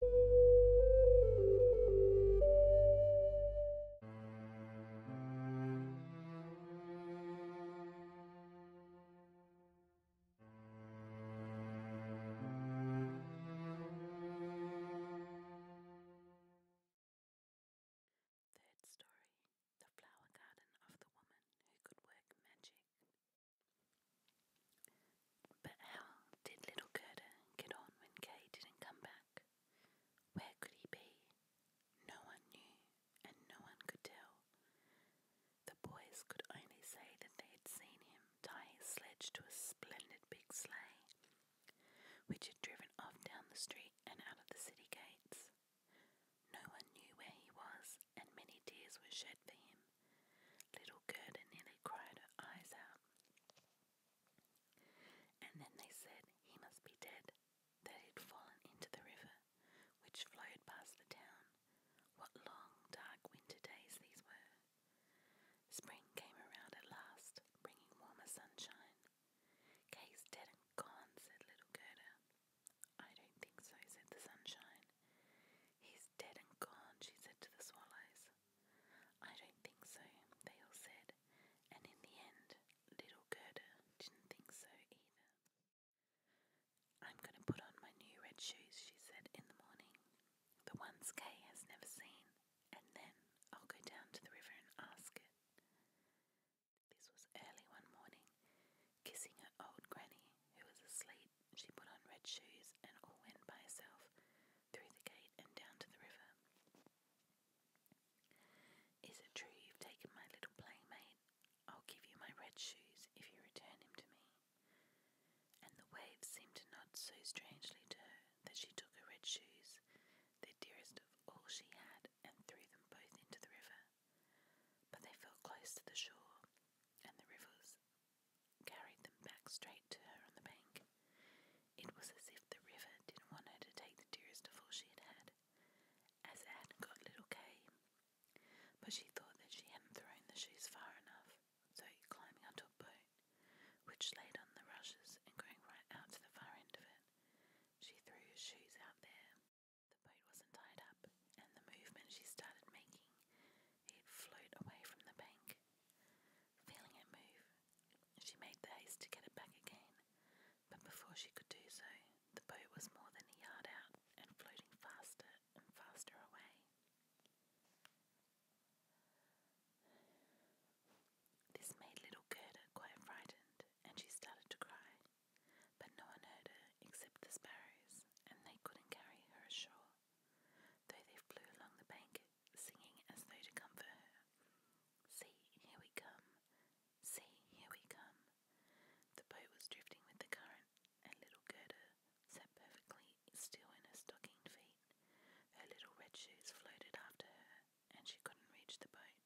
Third story The Flower Garden of the Woman Who Could Work Magic. But how did little Gerda get on when Kay didn't come back? Where could he be? No one knew, and no one could tell. The boys could only say that they had seen him tie his sledge to a splendid big sleigh, which had driven off down the street and out of the city gates. No one knew where he was, and many tears were shed for him. Little Gerda nearly cried her eyes out. And then they said he must be dead, that he'd fallen into the river, which flowed past the town. What long, dark winter days these were! Spring came around at last, bringing warmer sunshine. Kay's dead and gone, said little Gerda. I don't think so, said the sunshine. He's dead and gone, she said to the swallows. I don't think so, they all said, and in the end, little Gerda didn't think so either. I'm going to put on my new red shoes, she said in the morning, the ones Kay has never seen, and then I'll go down to the river and ask it. This was early one morning. Kissing her old granny, who was asleep, she put on red shoes and all went by herself through the gate and down to the river. Is it true you've taken my little playmate? I'll give you my red shoes if you return him to me. And the waves seemed to nod so strangely to her that she took her red shoes, the dearest of all she had, and threw them both into the river. But they fell close to the shore, and the river's carried them back straight to her on the bank. It was as if the river didn't want her to take the dearest of all she had as it got little Kay. But she thought that she hadn't thrown the shoes far enough, so climbing onto a boat, which laid on the rushes and going right out to the far end of it, she threw her shoes out there. The boat wasn't tied up, and the movement she started making he'd away from the bank. Feeling it move, she made the haste to get it back again, but before she could do so, the boat was more than a yard out and floating faster and faster away. This made little Gerda quite frightened, and she started to cry, but no one heard her except the sparrows, and they couldn't carry her ashore. Though they flew along the bank, singing as though to comfort her. See, here we come. See, here we come. The boat was drifting with the current, and little Gerda sat perfectly still in her stockinged feet. Her little red shoes floated after her, and she couldn't reach the boat,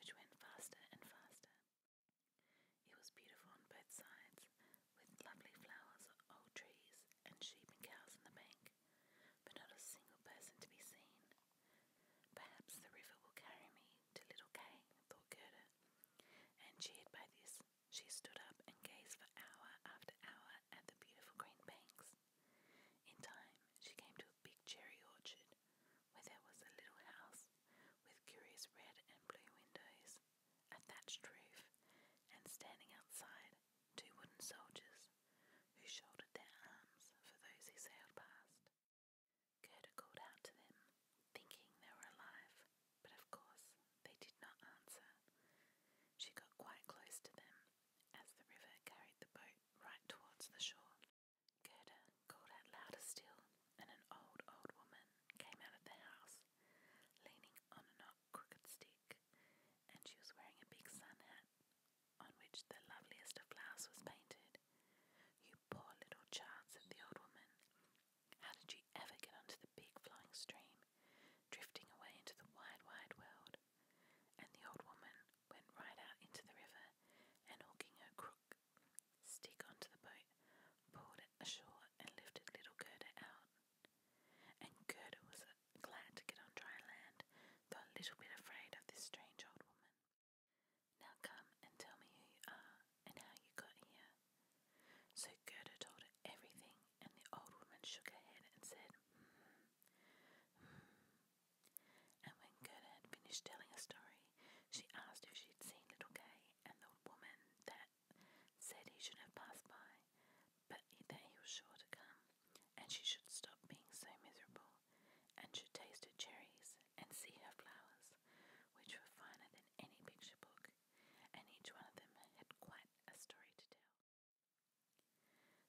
which went faster and faster. It was beautiful on both sides, with lovely flowers, old trees, and sheep and cows in the bank, but not a single person to be seen. Perhaps the river will carry me to little Kay, thought Gerda, and by this, she stood up and gazed for hour after hour at the beautiful green banks. In time, she came to a big cherry orchard where there was a little house with curious red and blue windows, a thatched roof, and standing outside two wooden soldiers who shouldered their arms for those who sailed past. Gerda called out to them, thinking they were alive, but of course they did not answer. She got quite close to them as the river carried the boat right towards the shore. Gerda called out louder still, and an old, old woman came out of the house, leaning on an crooked stick and she was wearing a big sun hat on which the loveliest of flowers was painted. You poor little child, said the old woman. How did you ever get onto the big flowing stream, drifting away into the wide, wide world? And the old woman went right out into the river and, hooking her crook stick onto the boat, pulled it ashore and lifted little Gerda out. And Gerda was uh, glad to get on dry land, though a little bit afraid of this strange old woman. Now come and tell me who you are and how you got here. So Gerda told everything, and the old woman shook her head and said, Hmm. And when Gerda had finished telling her story, she asked if she'd seen little Kay, and the woman said he should have passed by but that he was sure to come, and she should stop being so miserable, and should taste her cherries and see her flowers, which were finer than any picture book, and each one of them had quite a story to tell.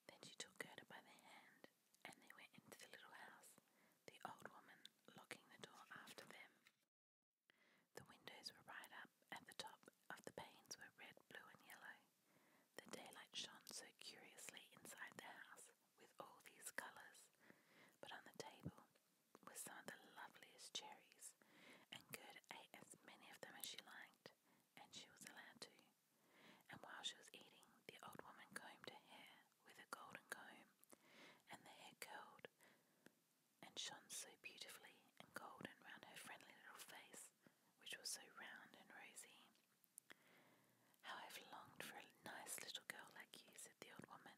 Then she took her by the hand, and they went into the little house, the old woman locking the door after them. The windows were right up at the top of the panes were red, blue, and yellow. The daylight shone so curiously inside the house with all these colours, but on the table were some of the loveliest cherries, and Good ate as many of them as she liked, and she was allowed to. And while she was eating, the old woman combed her hair with a golden comb, and the hair curled and shone so beautifully and golden round her friendly little face which was so round and rosy. How I've longed for a nice little girl like you, said the old woman.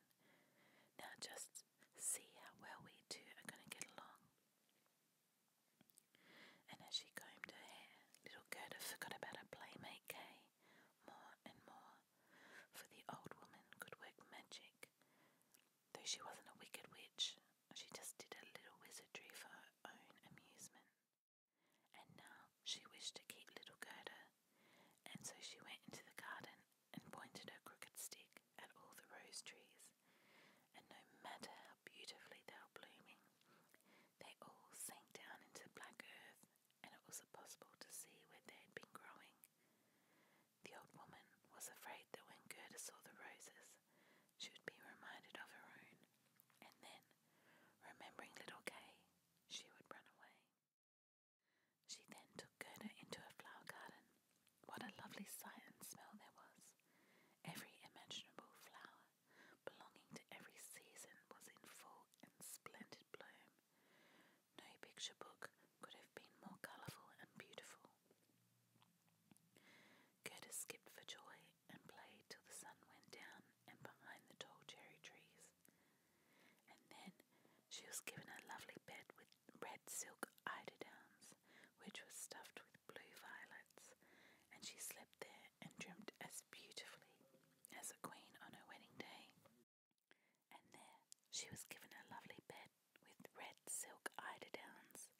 Now just see how well we two are going to get along. And as she combed her hair, little Gerda forgot about her playmate Kay more and more, for the old woman could work magic, though she wasn't a wicked witch, she just did a little wizardry for her own amusement. And now she wished to keep little Gerda, and so she went into the garden and pointed her crooked stick at all the rose trees, and no matter how beautifully they were blooming, they all sank down into black earth, and it was impossible to see where they had been growing. The old woman was afraid that when Gerda saw the roses, she would be reminded of her own, and then, remembering little Kay, she would run away. She then took Gerda into a flower garden. What a lovely sight and smell there was! Every imaginable flower belonging to every season was in full and splendid bloom. No picture book could have been more colourful and beautiful. Gerda skipped for joy and played till the sun went down and behind the tall cherry trees. And then she was given a lovely bed with red silk eiderdowns, which was stuffed with blue violets, and she slept there and dreamt as beautifully as a queen on her wedding day. And there she was given a lovely bed with red silk eiderdowns,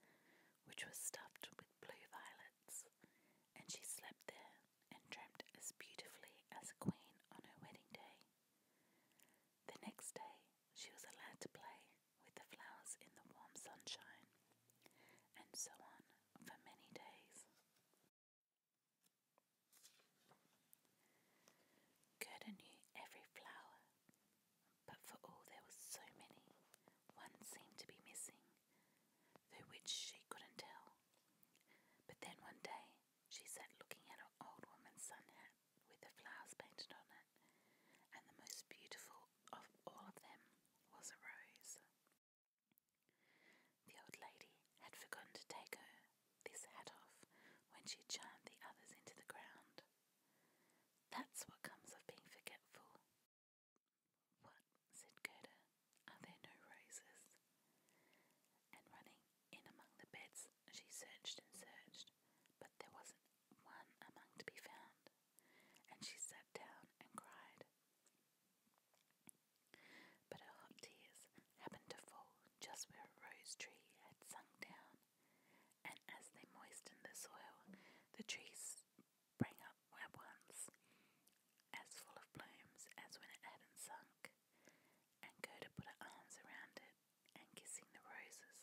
which was stuffed with blue violets, and she slept there and dreamt as beautifully as a queen on her wedding day. The next day, she was allowed to play with the flowers in the warm sunshine, and so on for many days. Gerda knew every flower, but for all there were so many, one seemed to be missing, though which she couldn't tell. But then one day she sat looking at an old woman's sun hat with the flowers painted on it, and the most beautiful of all of them was a rose. The old lady had forgotten to take her this hat off when she charmed the others into the ground. That's what comes of being forgetful, what? said Gerda. Are there no roses? And running in among the beds, she searched and searched, but there wasn't one among to be found, and she sat down and cried. But her hot tears happened to fall just where a rose tree had sunk down, and as they moistened the soil, the trees bring up where once, as full of blooms as when it hadn't sunk, and Gerda put her arms around it, and kissing the roses,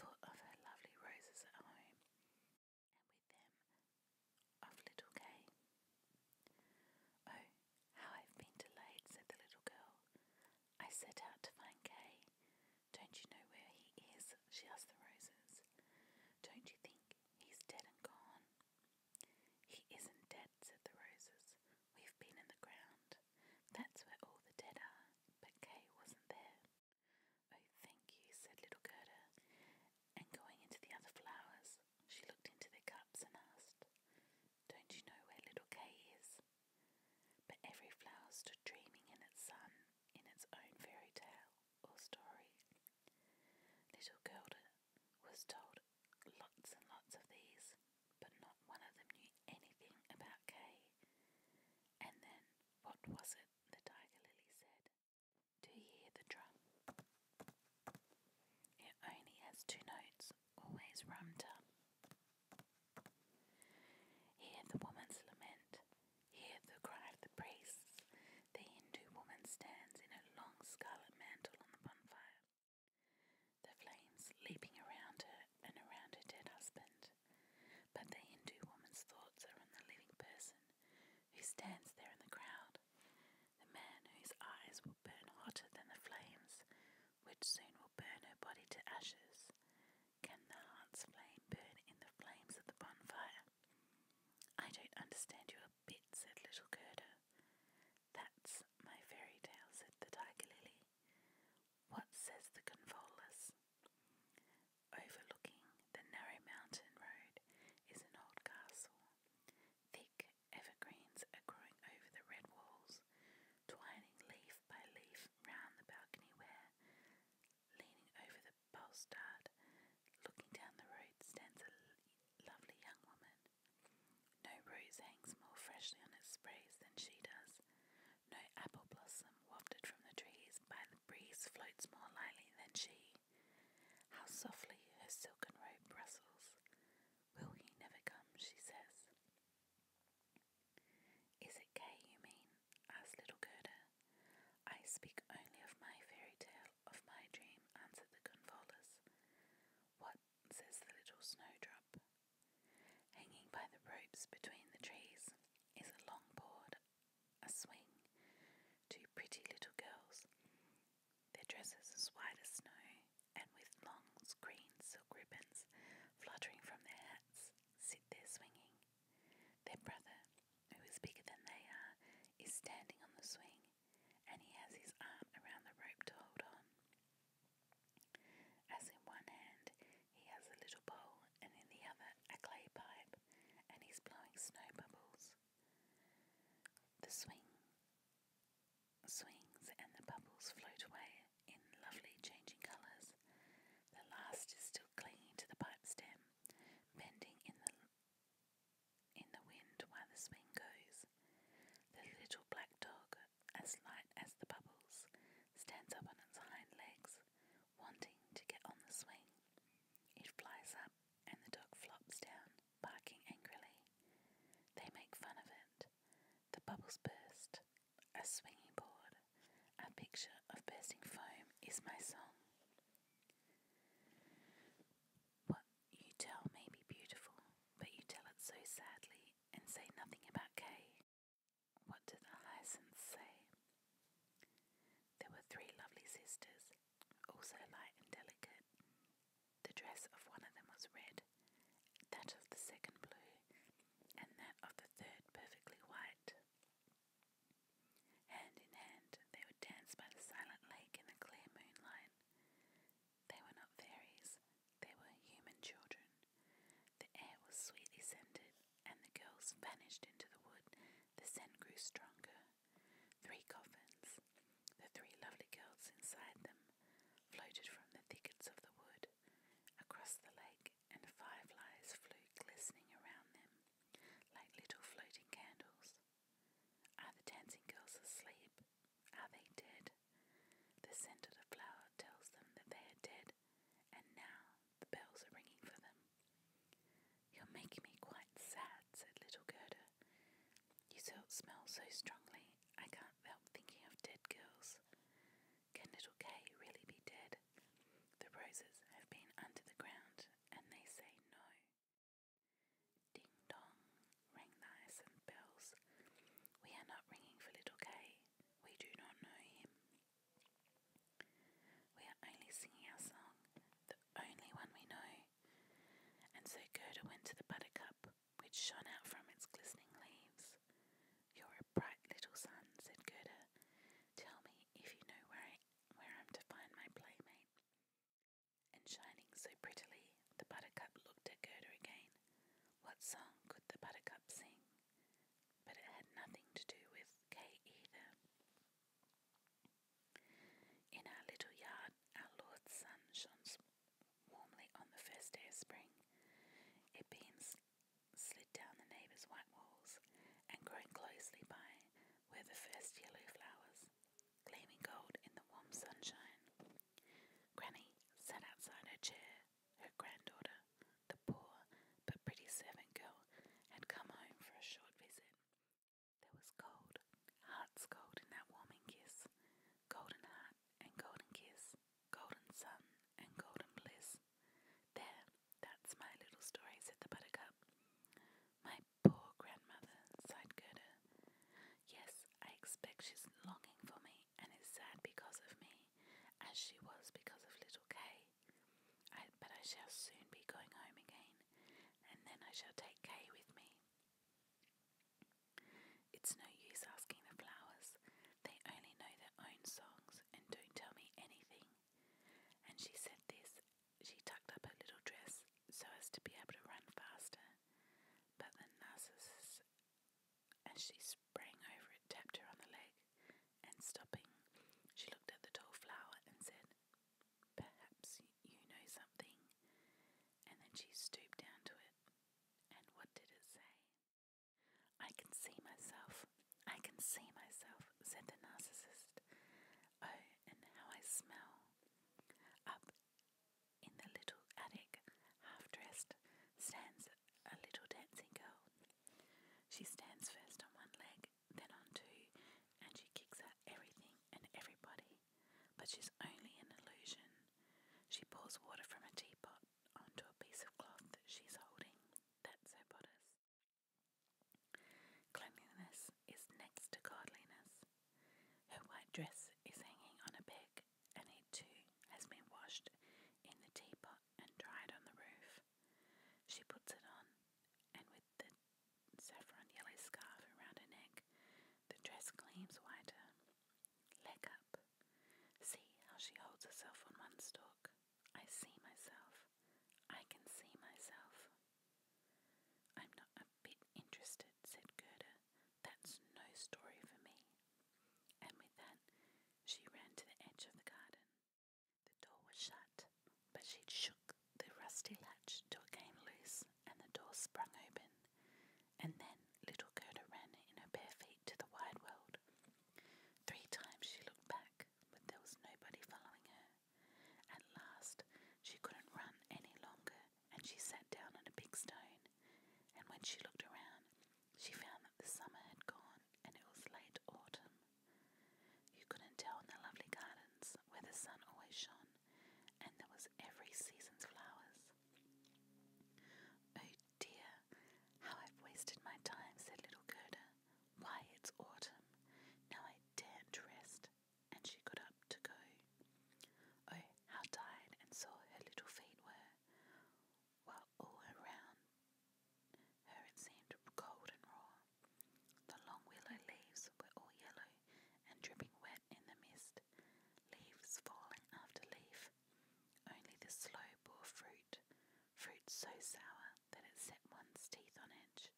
thought of her lovely roses at home, and with them of little Kay. Oh, how I've been delayed, said the little girl. I set out to find Kay, don't you know where he is? she asked the roses. Don't you think he's dead and gone? He isn't dead, said the roses. We've been in the ground. That's where all the dead are, but Kay wasn't there. Oh, thank you, said little Gerda. And going into the other flowers, she looked into their cups and asked, Don't you know where little Kay is? But every flower stood dreaming in its sun, in its own fairy tale or story. Little Girl was told lots and lots of these, but not one of them knew anything about Kay. And then, what was it the tiger lily said? Do you hear the drum? It only has two notes, always rum tum. Hear the woman's lament, Hear the cry of the priests. The Hindu woman stands in a long scarlet mantle on the bonfire, the flames leaping around her and around her dead husband. But the Hindu woman's thoughts are on the living person who stands there in the crowd, the man whose eyes will burn hotter than the flames, which soon will burn her body to ashes. Can the heart's flame burn in the flames of the bonfire? I don't understand you a bit, said little Gerda. That's my fairy tale, said the tiger lily. What says the convolvulus? Overlooking the narrow mountain road is an old castle. Thick evergreens are growing over the red walls, twining leaf by leaf round the balcony where, Leaning over the balustrade, looking down the road, stands a lovely young woman. No rose hangs more freshly on its sprays than she does. No apple blossom wafted from the trees by the breeze floats more lightly than she. How softly her silken robe rustles. Will he never come? she says. Is it Kay you mean? asks little Gerda. I speak only of my fairy tale, of my dream, answered the convolvulus. What? says the little snowdrop. Hanging by the ropes between the trees is a long board, a swing, two pretty little girls, their dresses as white as snow, and with long green silk ribbons fluttering from their hats, sit there swinging. Their brother, who is bigger than they are, is standing on the swing and he has his arm around the rope to hold on. As in one hand, he has a little bowl and in the other, a clay pipe, and he's blowing snow bubbles. The swing swings and the bubbles float away in lovely changing colours. The last is still clinging to the pipe stem bending in the in the wind while the swing goes. The little black dog, as light as the bubbles, stands up on its hind legs, wanting to get on the swing. It flies up and the dog flops down, barking angrily. They make fun of it. The bubbles burst. A swinging board, a picture of bursting foam is my song. What you tell may be beautiful, but you tell it so sadly and say nothing about Kay. What did the hyacinths say? There were three lovely sisters, also light and delicate. The dress of one of them was red, that of the second blue, and that of the third perfectly white. Hand in hand, they would dance by the silent lake in the clear moonlight. They were not fairies, they were human children. The air was sweetly scented, and the girls vanished into the wood. The scent grew stronger. Three coffins, the three lovely girls inside them, floated from the thickets of the wood across the lake, and fireflies flew glistening around them like little floating candles. Are the dancing girls asleep? Are they dead? The scent of the flower tells them that they are dead, and now the bells are ringing for them. You're making me quite sad, said little Gerda. You smell so strongly, I can't help thinking of dead girls. Can little Kay really be dead? The roses have been under the ground and they say no. Ding dong, rang the hyacinth bells. We are not ringing for little K. We do not know him. We are only singing our song, the only one we know. And so Gerda went to the buttercup, which shone out from its glistening leaves. You're a bright little sun, said Gerda. Tell me if you know where, where I'm to find my playmate. And shining so prettily, the buttercup looked at Gerda again. What song could the buttercup sing? But it had nothing to do with Kay either. In our little yard, our Lord's sun shone warmly on the first day of spring. It beams slid down the neighbour's white walls, and growing closely by, were the first yellow flowers, gleaming gold in the warm sunshine. Granny sat outside her chair. Her granddaughter, the poor but pretty servant girl, had come home for a short visit. There was gold, heart's gold in that warming kiss, golden heart and golden kiss, golden sun and golden bliss. There, that's my little story, said the buttercup. My poor grandmother, sighed Gerda. Yes, I expect she's longing for me and is sad because of me, as she was because of little K. but I shall soon be going home again, and then I shall take K with me. It's no use asking the flowers, they only know their own songs and don't tell me anything. And she said this she tucked up her little dress so as to be able to run faster, but the narcissus, as she sprang over it, tapped her on the leg, and stopping, she looked at the tall flower and said, Perhaps you know something. And then she stooped down to it, and what did it say? I can see myself, I can see myself, said the narcissist. Oh, and how I smell! Up in the little attic, half dressed, stands a little dancing girl. She stands first on one leg, then on two, and she kicks at everything and everybody. But she's only an illusion. She pours water from a teapot onto a piece of cloth that she's holding. That's her bodice. Cleanliness is next to godliness. Her white dress is hanging on a peg, and it too has been washed in the teapot and dried on the roof. She puts it on, and with the saffron yellow scarf around her neck, the dress gleams whiter. Leg up. See how she holds herself on one stalk. I see myself. I can see myself. I'm not a bit interested, said Gerda. That's no story for me. And with that, she ran to the edge of the garden. The door was shut, but she shook the rusty latch till it came loose and the door sprung open. And then little Gerda ran in her bare feet to the wide world. Three times she looked back, but there was nobody following her. At last she couldn't run any longer, and she sat down on a big stone. And when she looked around, she found that the summer had gone and it was late autumn. You couldn't tell in the lovely gardens where the sun always shone, and there was every season's flowers. Oh dear, how I've wasted my time, said little Gerda, why, it's autumn. Now I daren't rest. And she got up to go. Oh, how tired and sore her little feet were, while all around her it seemed cold and raw. The long willow leaves were all yellow and dripping wet in the mist, leaves falling after leaf. Only the sloe bore fruit, fruit so sour that it set one's teeth on edge.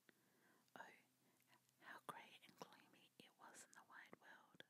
Oh, how grey and gloomy it was in the wide world!